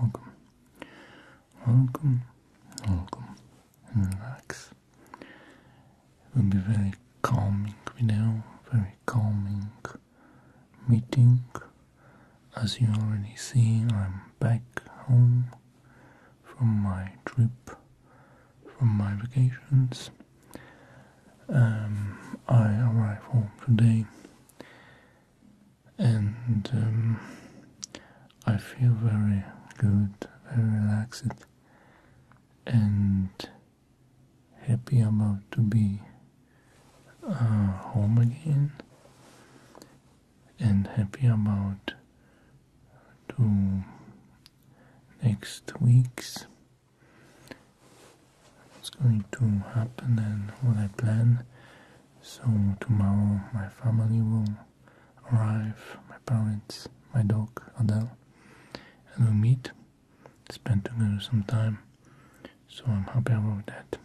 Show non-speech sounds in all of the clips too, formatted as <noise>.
Welcome, welcome, welcome, and relax. It will be a very calming video, very calming meeting. As you already see, I'm back home from my trip from my vacations. Um, I arrive home today and um, I feel very good, very relaxed, and happy about to be uh, home again, and happy about to next weeks it's going to happen and what I plan. So tomorrow my family will arrive, my parents, my dog Adele, and we'll meet, spend together some time. So I'm happy about that.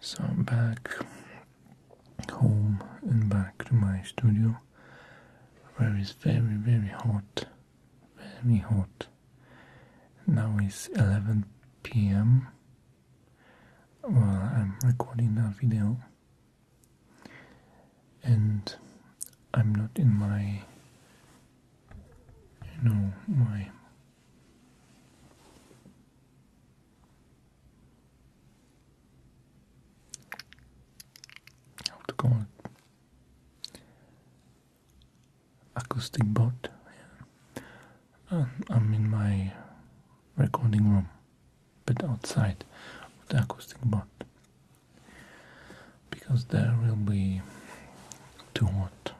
So I'm back home and back to my studio where it's very very hot very hot now it's 11 p.m well i'm recording that video and i'm not in my you know my how oh, to call it acoustic bot. Um, I'm in my recording room, but outside of the acoustic bot because there will be too hot.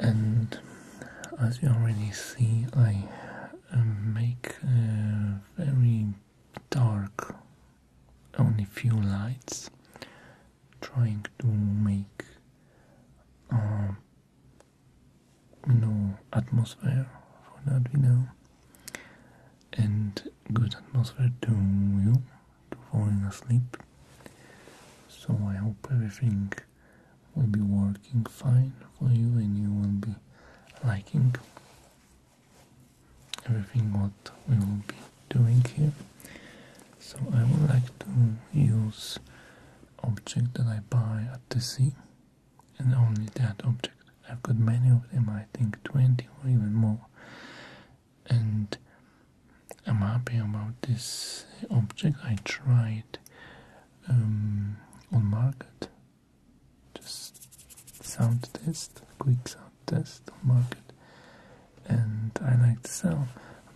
And as you already see, I make very dark only few lights trying to make uh, atmosphere for that video and good atmosphere to you to falling asleep so I hope everything will be working fine for you and you will be liking everything what we will be doing here. So I would like to use object that I buy at the sea and only that object. I've got many of them, I think 20 or even more. And I'm happy about this object. I tried um, on market just sound test, quick sound test market, and I like to sell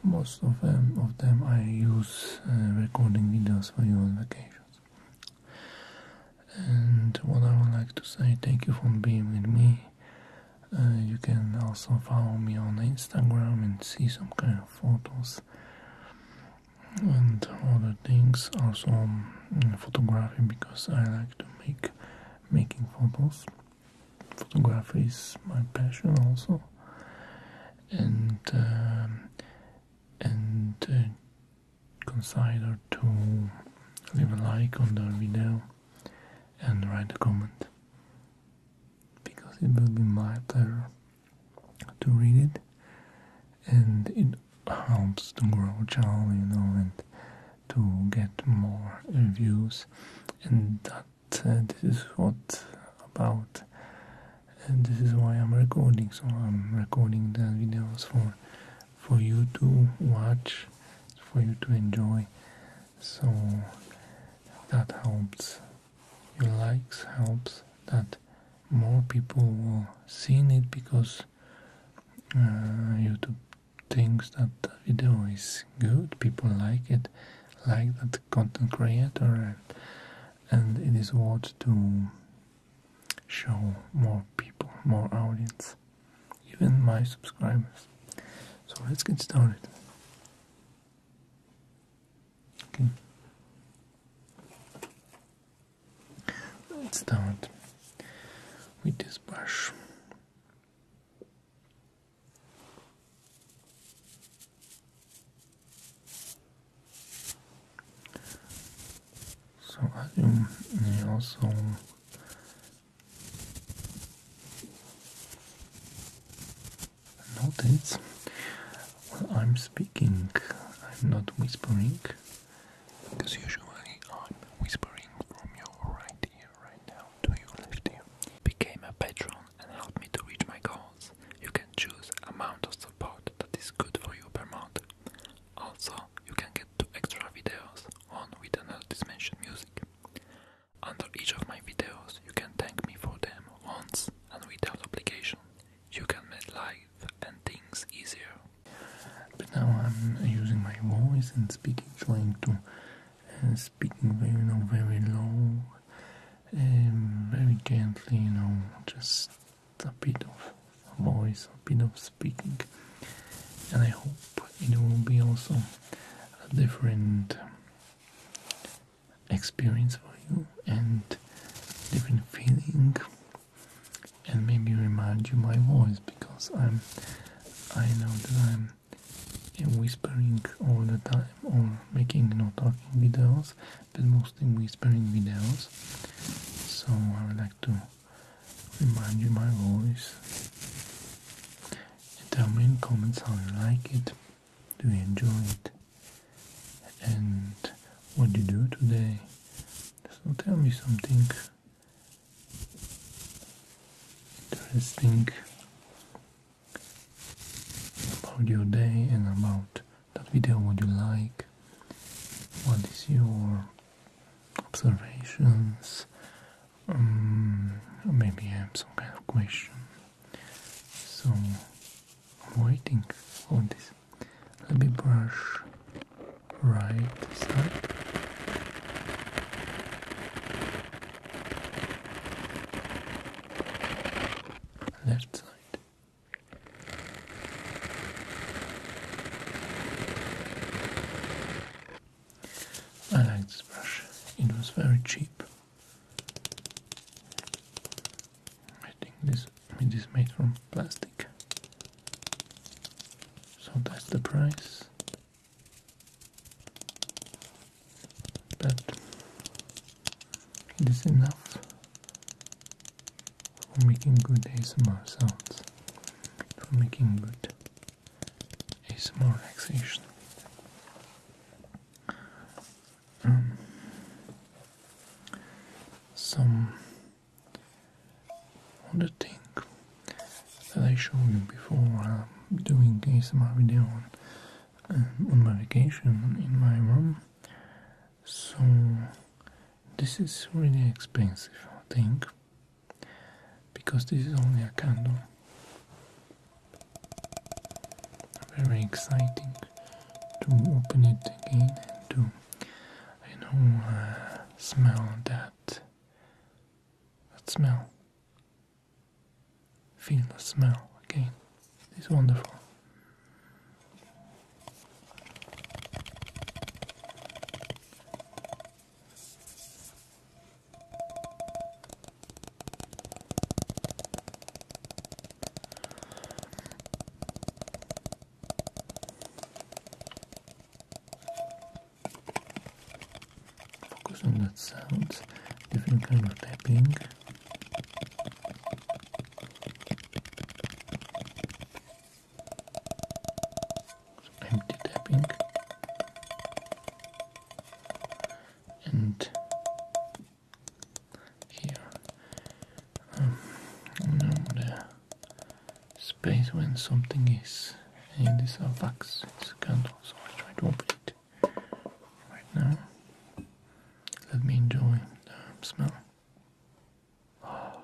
most of them. Of them, I use uh, recording videos for you on vacations. And what I would like to say, thank you for being with me. Uh, you can also follow me on Instagram and see some kind of photos and other things also um, photography because I like to make making photos photography is my passion also and um, and uh, consider to leave a like on the video and write a comment because it will be my pleasure to read it, and it helps to grow channel, you know, and to get more reviews, and that uh, this is what about, and this is why I'm recording. So I'm recording the videos for for you to watch, for you to enjoy. So that helps. Your likes helps. That more people will see it because uh, YouTube thinks that the video is good, people like it, like that content creator, and, and it is worth to show more people, more audience, even my subscribers. So let's get started. Okay. Let's start with this brush. So as you may also notice, well, I'm speaking, I'm not whispering, because usually I'm whispering from your right ear right now to your left ear. Became a patron and helped me to reach my goals. You can choose amount of support that is good for you per month. Also, you can get two extra videos, one with an music. Under each of my videos, you can thank me for them once and without obligation. You can like and things easier. But now I'm using my voice and speaking, trying to uh, speaking very, you know, very low, and um, very gently, you know, just a bit of voice, a bit of speaking, and I hope it will be also a different experience for you and different feeling and maybe remind you my voice because I'm I know that I'm whispering all the time or making no talking videos but mostly whispering videos so I would like to remind you my voice tell me in comments how you like it do you enjoy it and what you do today. So tell me something interesting about your day and about that video, what you like, what is your observations, mm, maybe I have some kind of question. So I'm waiting for this. Let me brush right side. Left side. I like this brush. It was very cheap. I think this it is made from plastic. So that's the price. But it is enough for making good days more sounds, for making good ASMR relaxation um, some other thing that I showed you before uh, doing ASMR video on, um, on my vacation in my room. So this is really expensive, I think, because this is only a candle. Very exciting to open it again and to, you know, uh, smell that, that smell. Feel the smell again. It's wonderful. Focus on that sound, different kind of tapping. Some empty tapping and here. Um, the space when something is in this box. it's a candle, so I try to open it right now. Let me enjoy the smell. Wow.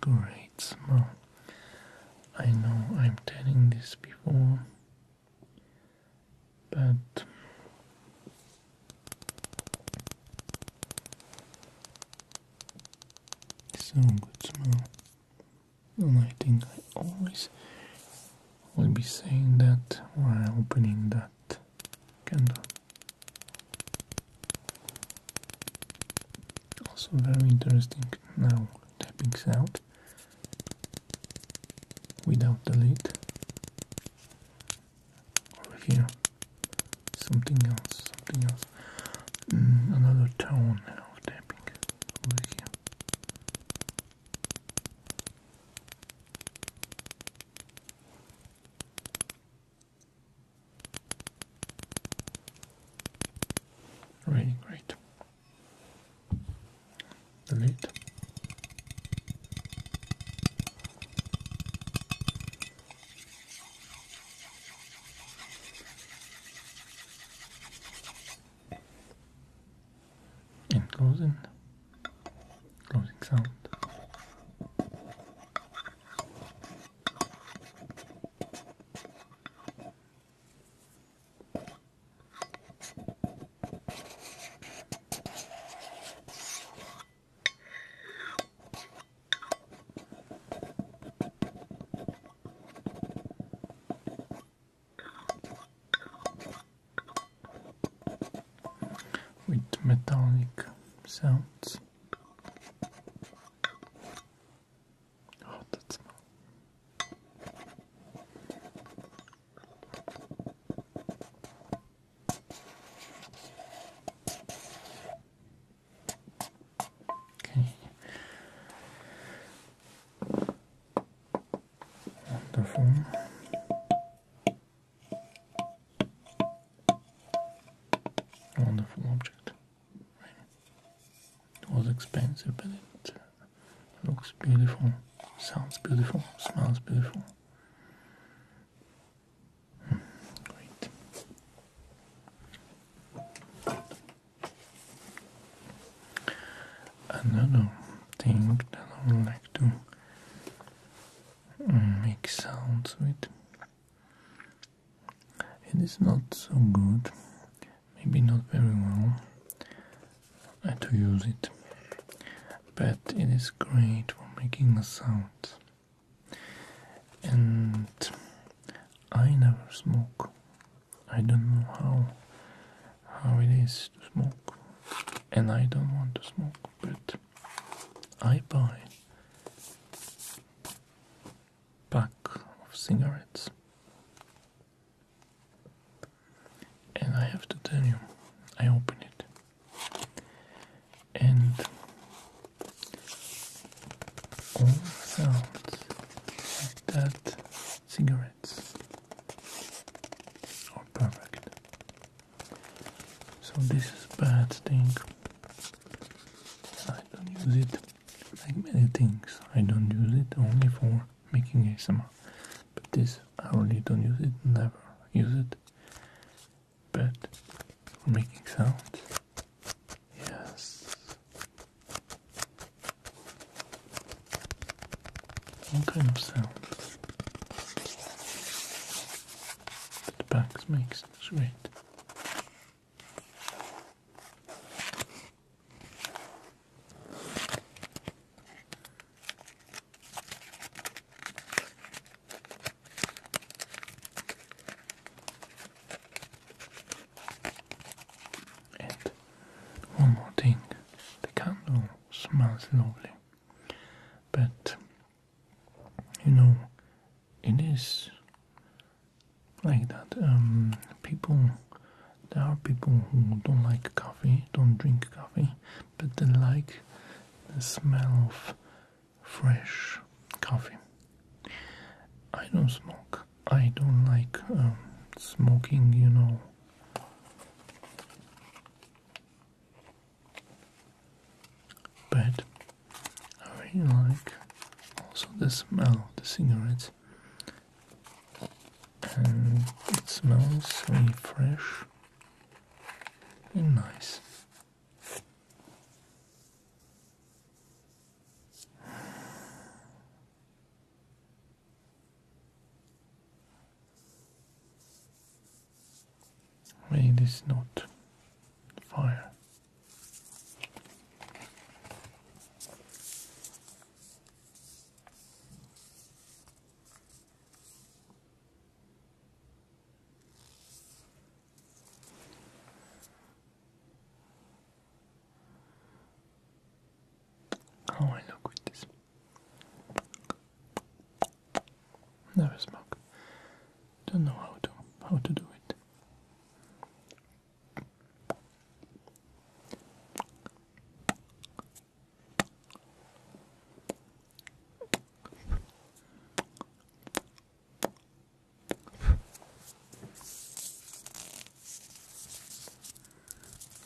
Great smell. I know I'm telling this before, but so good smell. And I think I always will be saying that while opening that candle. Also very interesting now tapping sound without the lid. Over here, something else, something else. Mm, another tone of tapping over here. Right, great. Delete and closing closing sound with metallic sounds. Oh, that Okay. Wonderful. wonderful object. It was expensive, but it looks beautiful, sounds beautiful, smells beautiful. Hmm, great. Another thing that I would like to mm, make sounds with. It is not so good, maybe not very well to use it, but it is great for making a sound. And I never smoke. I don't know how how it is to smoke, and I don't want to smoke, but I buy pack of cigarettes, and I have to tell you, I open it, and all sounds like that cigarettes are perfect. So this is bad thing. I don't use it like many things. I don't use it only for making ASMR. But this I really don't use it, never use it. But making sounds. Yes. What kind of sound that the back makes It's great. And one more thing, the candle smells lovely, but you know, it is like that. Um, people, there are people who don't like coffee, don't drink coffee, but they like the smell of fresh coffee. I don't smoke. I don't like um, smoking, you know, but I really like also the smell of the cigarettes, and it smells really fresh and nice. Rain is not fire. How I look with this. Never smoke. Don't know how to how to do it.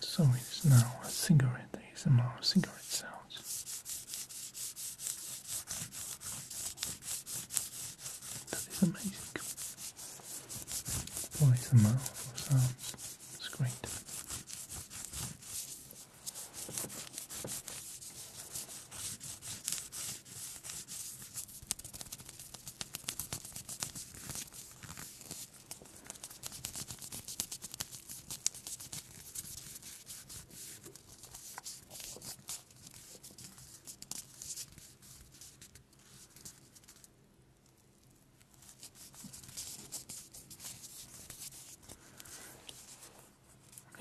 So it's now a cigarette ASMR cigarette sounds. That is amazing. Well, it's a mouth of sounds. great.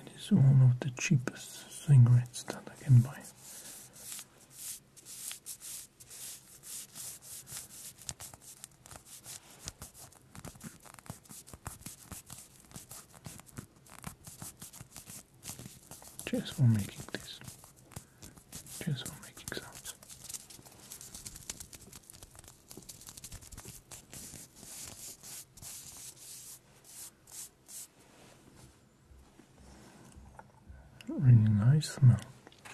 It is one of the cheapest cigarettes that I can buy. Cheers for making this. Cheers for making sounds. Really nice smell.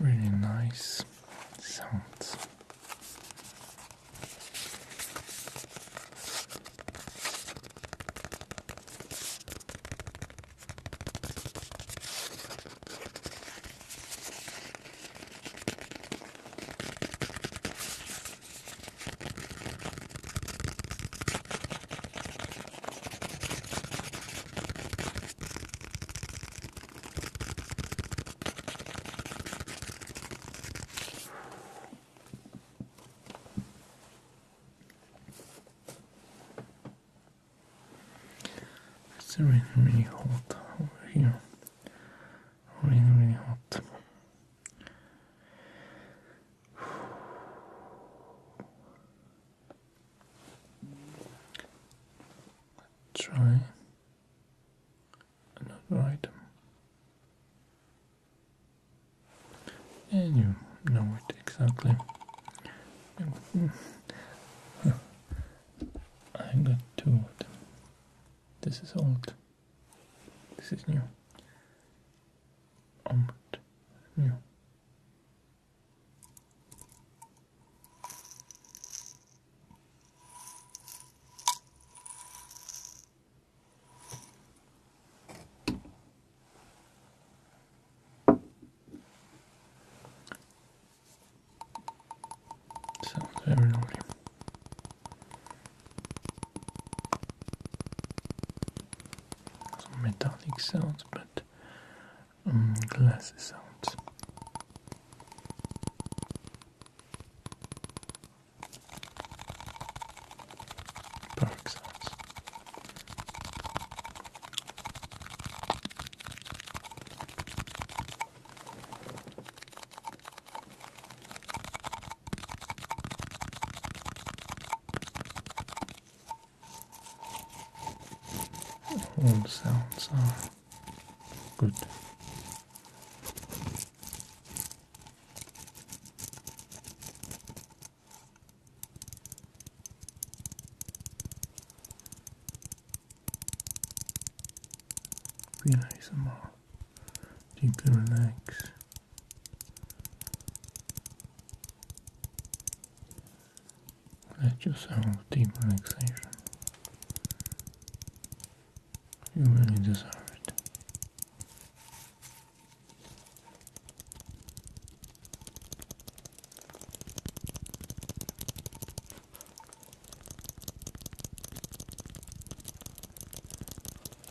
Really nice sounds. It's really, really hot over here. Really, really hot. Try another item. And you know it exactly. <laughs> I got two of them. This is old. This is new. Almond meal. Sounds very lovely some metallic sounds, but glass um, glassy sounds. Perfect sounds sounds good. Feel nice more deeply relaxed. Let yourself deep relaxation. You really deserve it.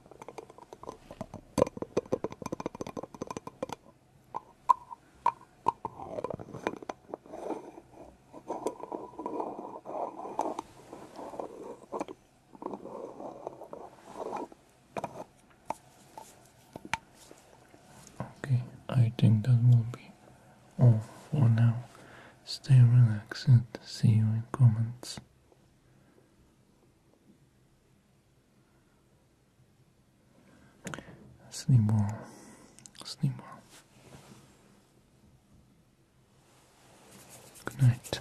Okay, I think that will be all for now. Stay relaxed. See you in comments. Sleep well. Sleep well. Good night.